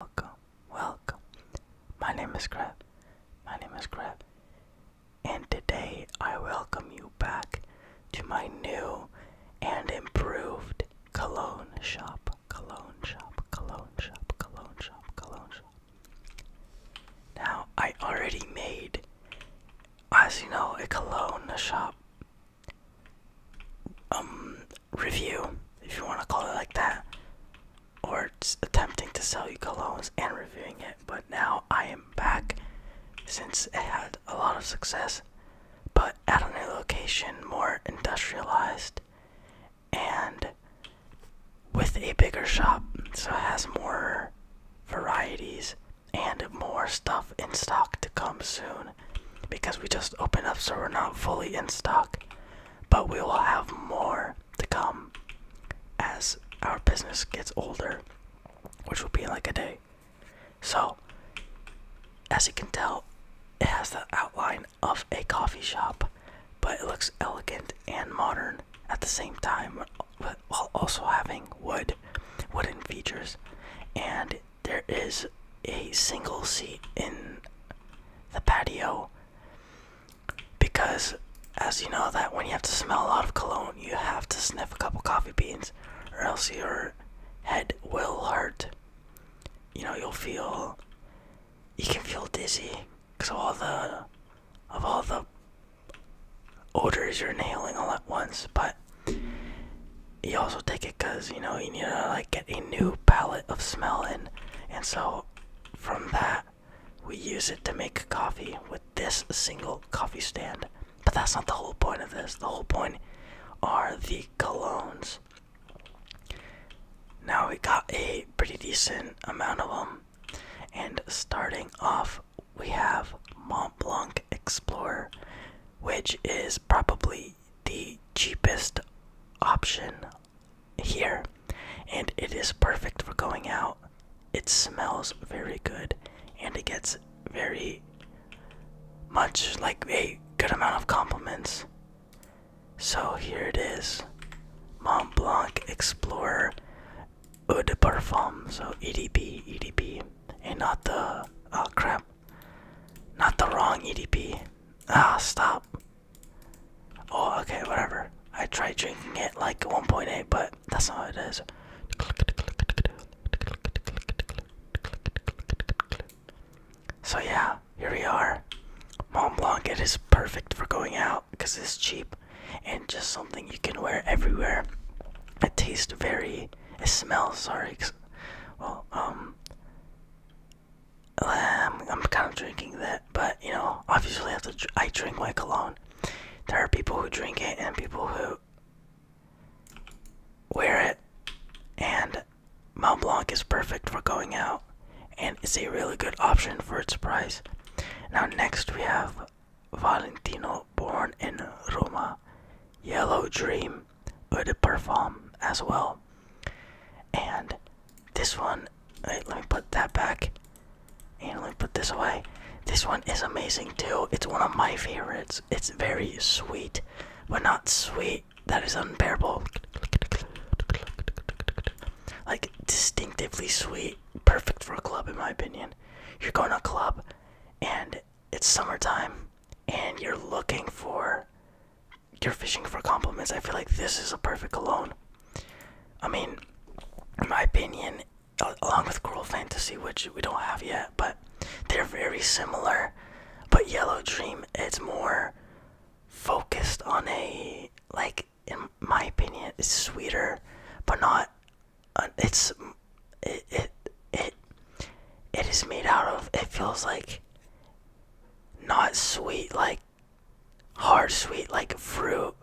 Welcome, welcome. My name is Crab. My name is Crab. And today I welcome you back to my new and improved cologne shop. Cologne shop, cologne shop, cologne shop, cologne shop. Now, I already made, as you know, a cologne shop. Um, review, if you want to call it like that, or attempting to sell you colognes and reviewing it. But now I am back since it had a lot of success, but at a new location, more industrialized, and with a bigger shop, so it has more varieties and more stuff in stock to come soon because we just opened up so we're not fully in stock but we will have more to come as our business gets older, which will be in like a day. So, as you can tell, it has the outline of a coffee shop, but it looks elegant and modern at the same time, while also having wood, wooden features, and there is a single seat in the patio because, as you know, that when you have to smell a lot of cologne, you have to sniff a couple coffee beans, or else your head will hurt. You know, you'll feel. You can feel dizzy because of all the, of all the odors you're inhaling all at once. But you also take it because you know you need to like get a new palette of smelling, And so from that, we use it to make coffee with this single coffee stand. But that's not the whole point of this. The whole point are the colognes. Now we got a pretty decent amount of them. And starting off, we have Mont Blanc Explorer, which is probably the cheapest option here and it is perfect for going out. It smells very good and it gets very much like a good amount of compliments. So here it is Mont Blanc Explorer Eau de Parfum. So EDP, EDP, and not the. Oh crap. Not the wrong EDP. Ah, stop. Oh, okay, whatever. I tried drinking it like 1.8, eh, but that's not what it is. So yeah, here we are. Mont Blanc, it is perfect for going out because it's cheap and just something you can wear everywhere. It tastes very, it smells, sorry, well, um, I'm kind of drinking that, but you know, obviously I drink my cologne. There are people who drink it and people who wear it, and Mont Blanc is perfect for going out, and it's a really good option for its price. Now next we have Valentino, born in Roma, Yellow Dream, Eau de Parfum as well. And this one, let me put that back. And let me put this away. This one is amazing too. It's one of my favorites. It's very sweet, but not sweet. That is unbearable. Like distinctively sweet. Perfect for a club, in my opinion. You're going to a club and it's summertime and you're looking for you're fishing for compliments, I feel like this is a perfect cologne. I mean, in my opinion, along with Cruel Fantasy, which we don't have yet, but they're very similar. But Yellow Dream, it's more focused on a like, in my opinion, it's sweeter, but not. Uh, it's it, it it it is made out of. It feels like not sweet like hard sweet like fruit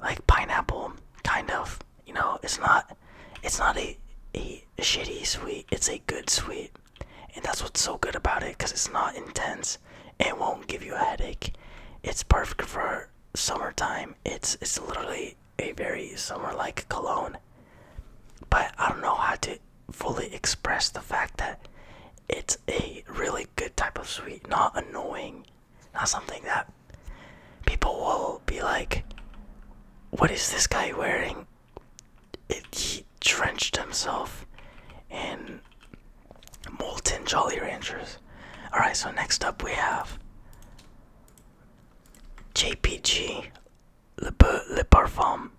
like pineapple kind of you know it's not it's not a, a shitty sweet it's a good sweet and that's what's so good about it because it's not intense and won't give you a headache it's perfect for summertime it's it's literally a very summer like cologne but i don't know how to fully express the fact that it's a really good type of sweet, not annoying, not something that people will be like, What is this guy wearing? It, he drenched himself in molten Jolly Ranchers. Alright, so next up we have JPG le, le parfum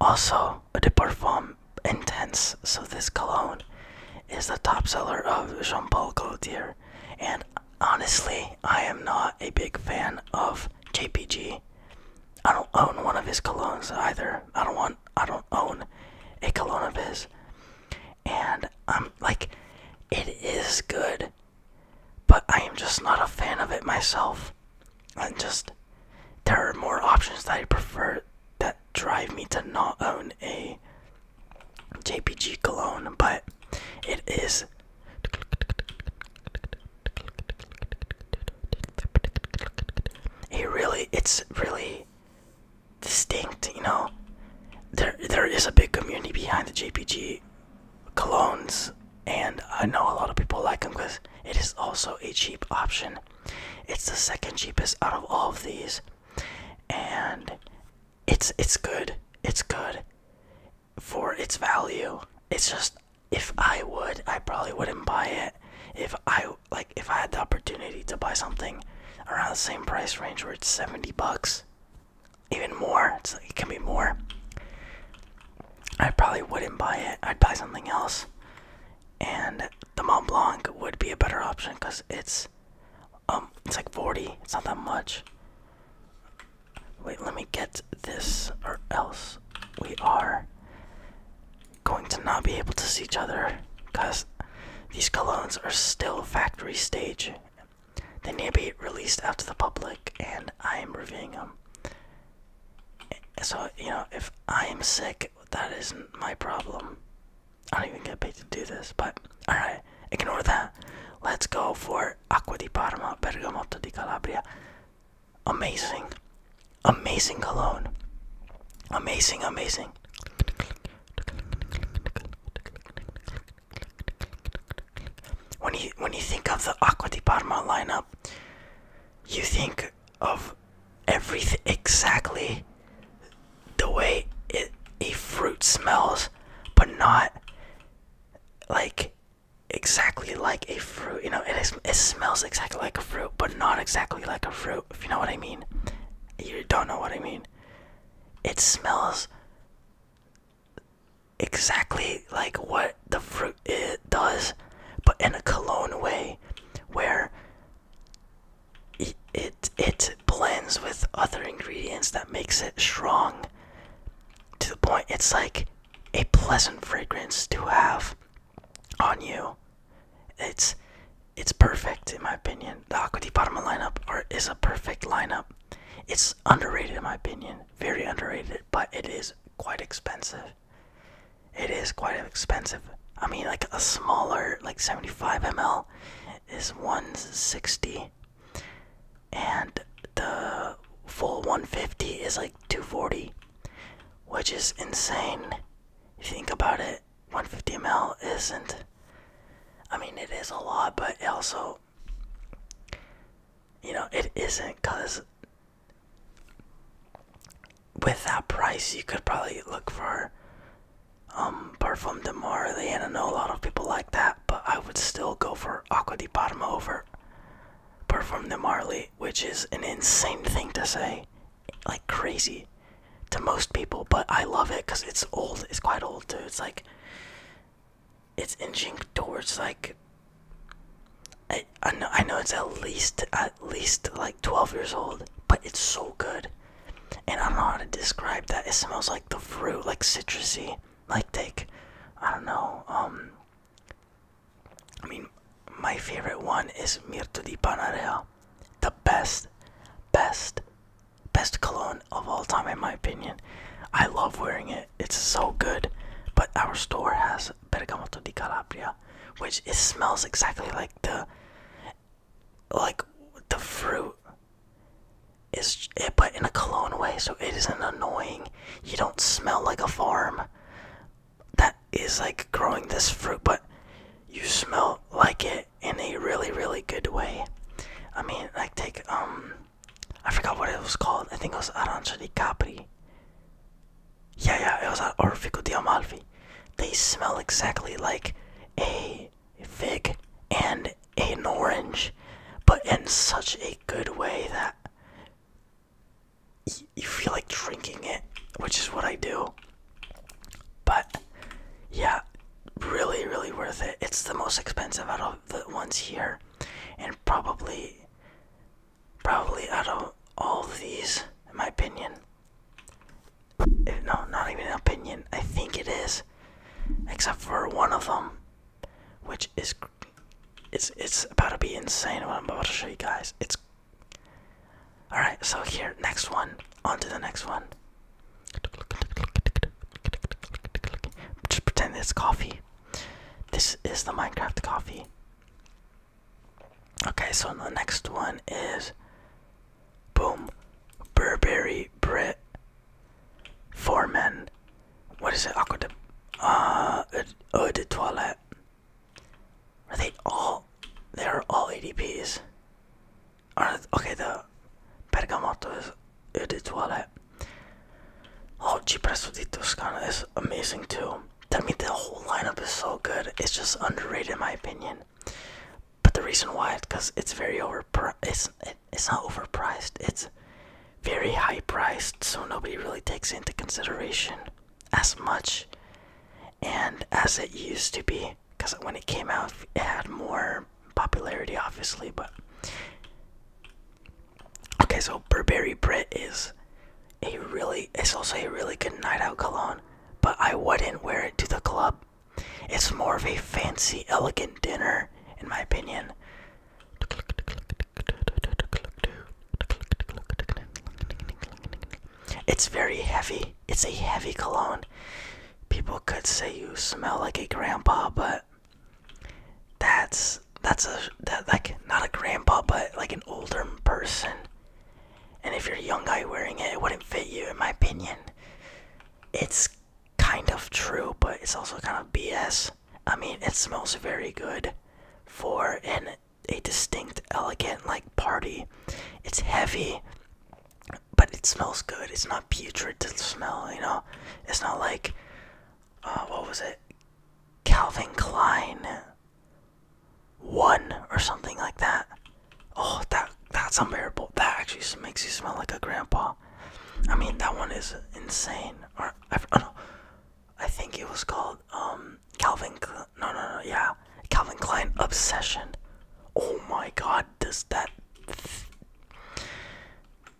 also the parfum intense so this cologne is the top seller of Jean Paul Gaultier and honestly I am not a big fan of JPG I don't own one of his colognes either I don't want I don't own a cologne of his and I'm like it is good but I am just not a fan of it myself and just there are more options that I prefer that drive me to not own a JPG cologne, but it is it really it's really distinct, you know. There there is a big community behind the JPG colognes and I know a lot of people like them because it is also a cheap option. It's the second cheapest out of all of these, and it's it's good. It's good for its value. It's just if I would, I probably wouldn't buy it. If I like, if I had the opportunity to buy something around the same price range where it's seventy bucks, even more, it can be more. I probably wouldn't buy it. I'd buy something else. And the Mont Blanc would be a better option because it's um it's like 40. It's not that much. Wait, let me get this or else we are going to not be able to see each other because these colognes are still factory stage. They need to be released out to the public and I am reviewing them. So, you know, if I am sick, that isn't my problem. I don't even get paid to do this, but alright, ignore that. Let's go for Acqua di Parma, Bergamotto di Calabria. Amazing. Amazing cologne. Amazing, amazing. When you when you think of the Acqua di Parma lineup, you think of everything exactly the way a fruit smells, but not like exactly like a fruit. You know, it it smells exactly like a fruit, but not exactly like a fruit. If you know what I mean. You don't know what I mean. It smells exactly like what the fruit it does, but in a cologne way, where it, it blends with other ingredients that makes it strong. To the point, it's like a pleasant fragrance to have on you. It's it's perfect in my opinion. The Aqua di Parma lineup is a perfect lineup. It's underrated in my opinion, very underrated, but it is quite expensive. It is quite expensive. I mean, like a smaller, like 75 ml, is 160, and the full 150 is like 240, which is insane. think about it, 150 ml isn't. I mean, it is a lot, but also, you know, it isn't because with that price, you could probably look for um, Parfum de Marley, and I know a lot of people like that, but I would still go for Aqua di Parma over Parfum de Marley, which is an insane thing to say, like crazy to most people, but I love it because it's old, it's quite old too. It's like, it's inching towards like I, I know it's at least at least like 12 years old, but it's so good. And I don't know how to describe that. It smells like the fruit, like citrusy. Like take I don't know, um I mean my favorite one is Mirto di Panareal, The best, best, best cologne of all time in my opinion. I love wearing it it's so good. But our store has bergamotto di Calabria, which it smells exactly like the like the fruit is it but in a cologne way so it isn't annoying you don't smell like a farm that is like growing this fruit but you smell like it in a really really good way i mean like take um i forgot what it was called i think it was arancia di capri yeah, yeah, it was at Orfico di Amalfi. They smell exactly like a fig and an orange, but in such a good way that you feel like drinking it, which is what I do. But yeah, really, really worth it. It's the most expensive out of the ones here, and probably Probably out of all these, in my opinion. no, not even an opinion. I think it is, except for one of them, which is it's it's about to be insane. What I'm about to show you guys. It's all right. So here, next one. On to the next one. Just pretend it's coffee. This is the Minecraft coffee. Okay, so the next one is Boom Burberry Brit men. What is it? Aqua the uh, toilet. Are they all they are all ADPs? okay the Bergamotto is Eau toilet. Oh, Presso di Toscana is amazing too. I mean, the whole lineup is so good. It's just underrated in my opinion. But the reason why is because it's very overpriced. It's, it's not overpriced. It's very high priced, so nobody really takes into consideration as much and as it used to be. Because when it came out, it had more popularity, obviously. But Okay, so Burberry Brit is a really it's also a really good night out cologne, but I wouldn't wear it to the club. It's more of a fancy, elegant dinner, in my opinion. It's very heavy. It's a heavy cologne. People could say you smell like a grandpa, but that's that's a that like not a grandpa, but like an older person. And if you're a young guy wearing it, it wouldn't fit you, in my opinion. It's kind of true, but it's also kind of BS. I mean, it smells very good for an a distinct, elegant like party. It's heavy, but it smells good. It's not putrid to smell, you know. It's not like uh, what was it? Calvin Klein one or something like that. Oh, that that's unbearable. That actually makes you smell like a grandpa. I mean, that one is insane. Or I, oh I think it was called um Calvin. no, no, no, yeah, Calvin Klein Obsession. Oh my God, does that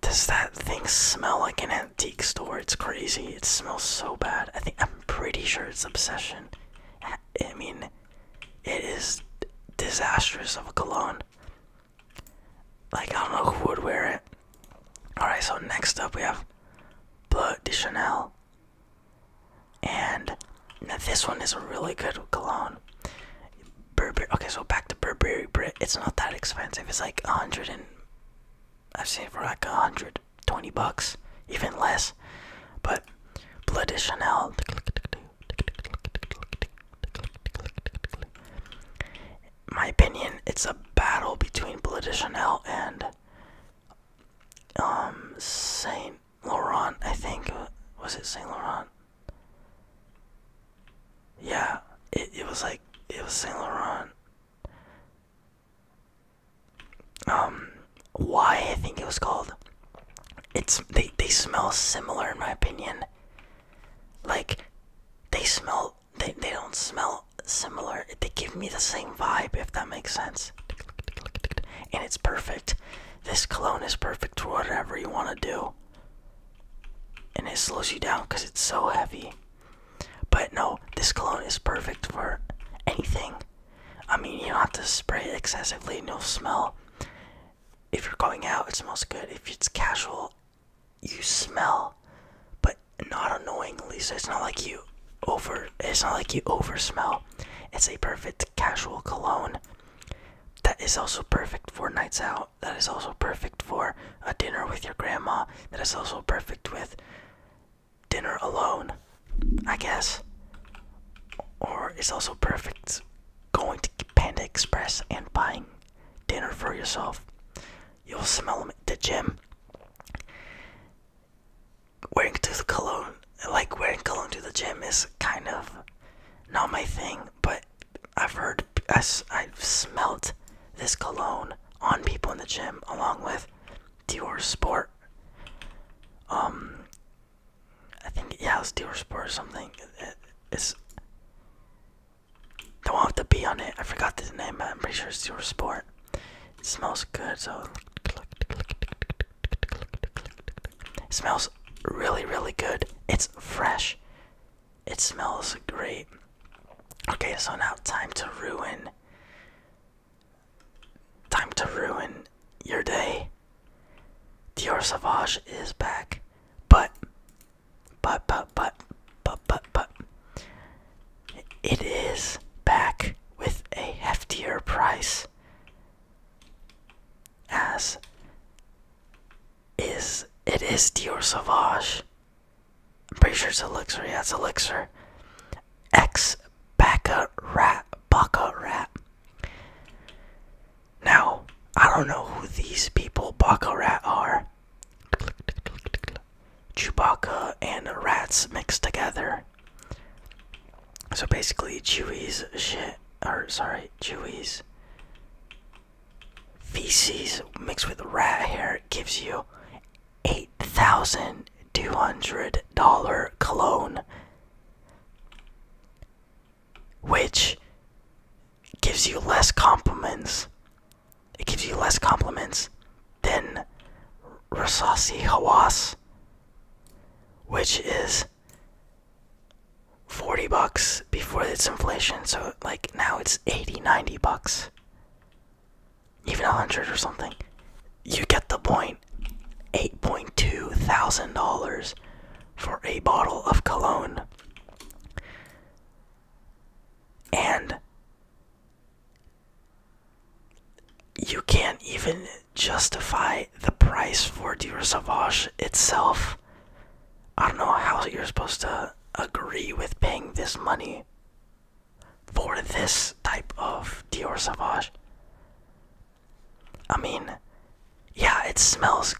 does that thing smell like an antique store. It's crazy. It smells so bad. I think I'm pretty sure it's Obsession. I mean, it is disastrous of a cologne. Like, I don't know who would wear it. Alright, so next up we have Blood de Chanel. And now this one is a really good cologne. Burberry. Okay, so back to Burberry Brit. It's not that expensive. It's like a 100 and I've seen for like 120 bucks, even less. But Bleu de Chanel, my opinion, it's a battle between Bleu de Chanel and um, Saint Laurent. I think was it Saint Laurent? Yeah, it it was like it was Saint Laurent um why I think it was called. It's they they smell similar in my opinion. Like they smell they they don't smell similar. They give me the same vibe if that makes sense. And it's perfect. This cologne is perfect for whatever you want to do. And it slows you down because it's so heavy. But no, this cologne is perfect for anything. I mean, you don't have to spray it excessively, no smell. If you're going out, it smells good. If it's casual, you smell, but not annoyingly. So it's not like you over. It's not like you over It's a perfect casual cologne. That is also perfect for nights out. That is also perfect for a dinner with your grandma. That is also perfect with dinner alone, I guess. Or it's also perfect going to Panda Express and buying dinner for yourself. You'll smell them at the gym. Wearing to cologne, like wearing cologne to the gym, is kind of not my thing. But I've heard, I've smelled this cologne on people in the gym along with Dior Sport. Um, I think yeah, it's Dior Sport or something. it's the one with the B on it. I forgot the name. But I'm pretty sure it's Dior Sport. It smells good, so it smells really, really good. It's fresh. It smells great. Okay, so now time to ruin. Time to ruin your day. Dior Savage is back. But, but, but, but, but, but, but. It is back with a heftier price. As is, it is Dior Sauvage I'm pretty sure it's elixir. Yeah, it's elixir. X Baka Rat. Baka Rat. Now, I don't know who these people, Baka Rat, are. Chewbacca and rats mixed together. So basically, Chewie's shit, or sorry, Chewie's feces mixed with rat hair gives you $8,200 cologne, which gives you less compliments. It gives you less compliments than Rasasi Hawas, which is 40 bucks before its inflation, so like now it's 80, 90 bucks even a hundred or something. You get the point. Eight point two thousand dollars for a bottle of cologne. And you can't even justify the price for Dior Sauvage itself. I don't know how you're supposed to agree with paying this money for this type of Dior Sauvage. I mean, yeah, it smells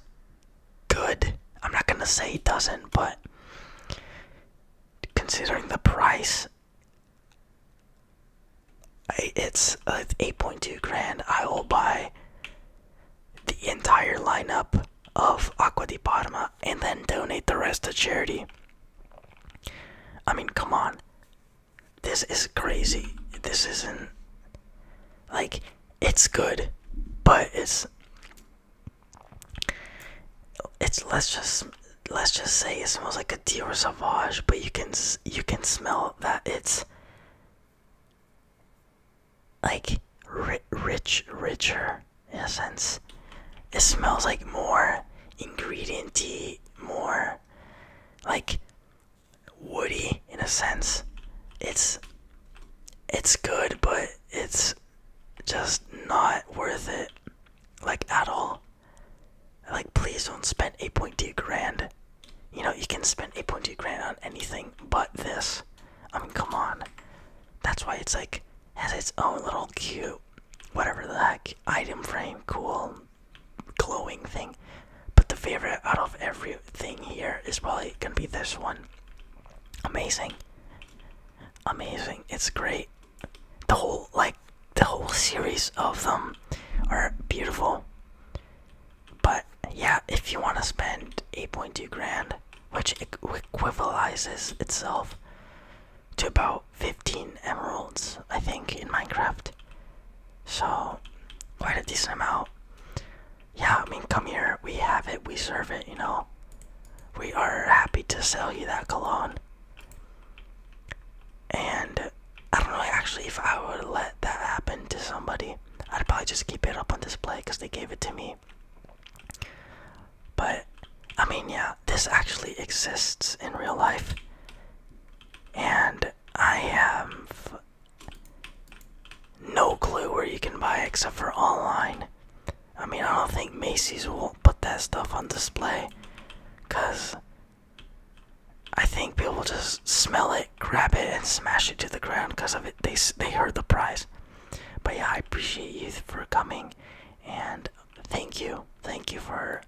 good. I'm not gonna say it doesn't, but considering the price, it's uh, 8.2 grand. I will buy the entire lineup of Aqua di Parma and then donate the rest to charity. I mean, come on. This is crazy. This isn't. Like, it's good, but it's. It's let's just let's just say it smells like a Dior Sauvage, but you can you can smell that it's like rich richer in a sense. It smells like more ingredienty, more like woody in a sense. It's it's good, but it's just not worth it, like at all. Like, please don't spend 8.2 grand. You know, you can spend 8.2 grand on anything but this. I mean, come on. That's why it's like has its own little cute, whatever the heck, item frame, cool, glowing thing. But the favorite out of everything here is probably gonna be this one. Amazing. Amazing. It's great. The whole, like, the whole series of them are beautiful. But yeah, if you want to spend 8.2 grand which equivalizes itself to about 15 emeralds, I think, in Minecraft. So, quite a decent amount. Yeah, I mean, come here, we have it, we serve it, you know. We are happy to sell you that cologne. And I don't know actually if I would let that happen to somebody. I'd probably just keep it up on display because they gave it to me. But I mean, yeah, this actually exists in real life. And I have no clue where you can buy except for online. I mean, I don't think Macy's will put that stuff on display. Because I think people just smell it, grab it, and smash it to the ground because of it. They, they heard the price. But yeah, I appreciate you for coming and thank you, thank you for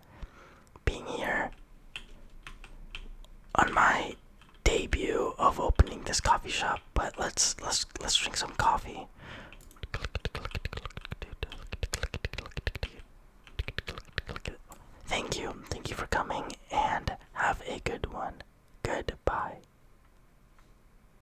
being here on my debut of opening this coffee shop. But let's let's let's drink some coffee. Thank you, thank you for coming, and have a good one. Goodbye.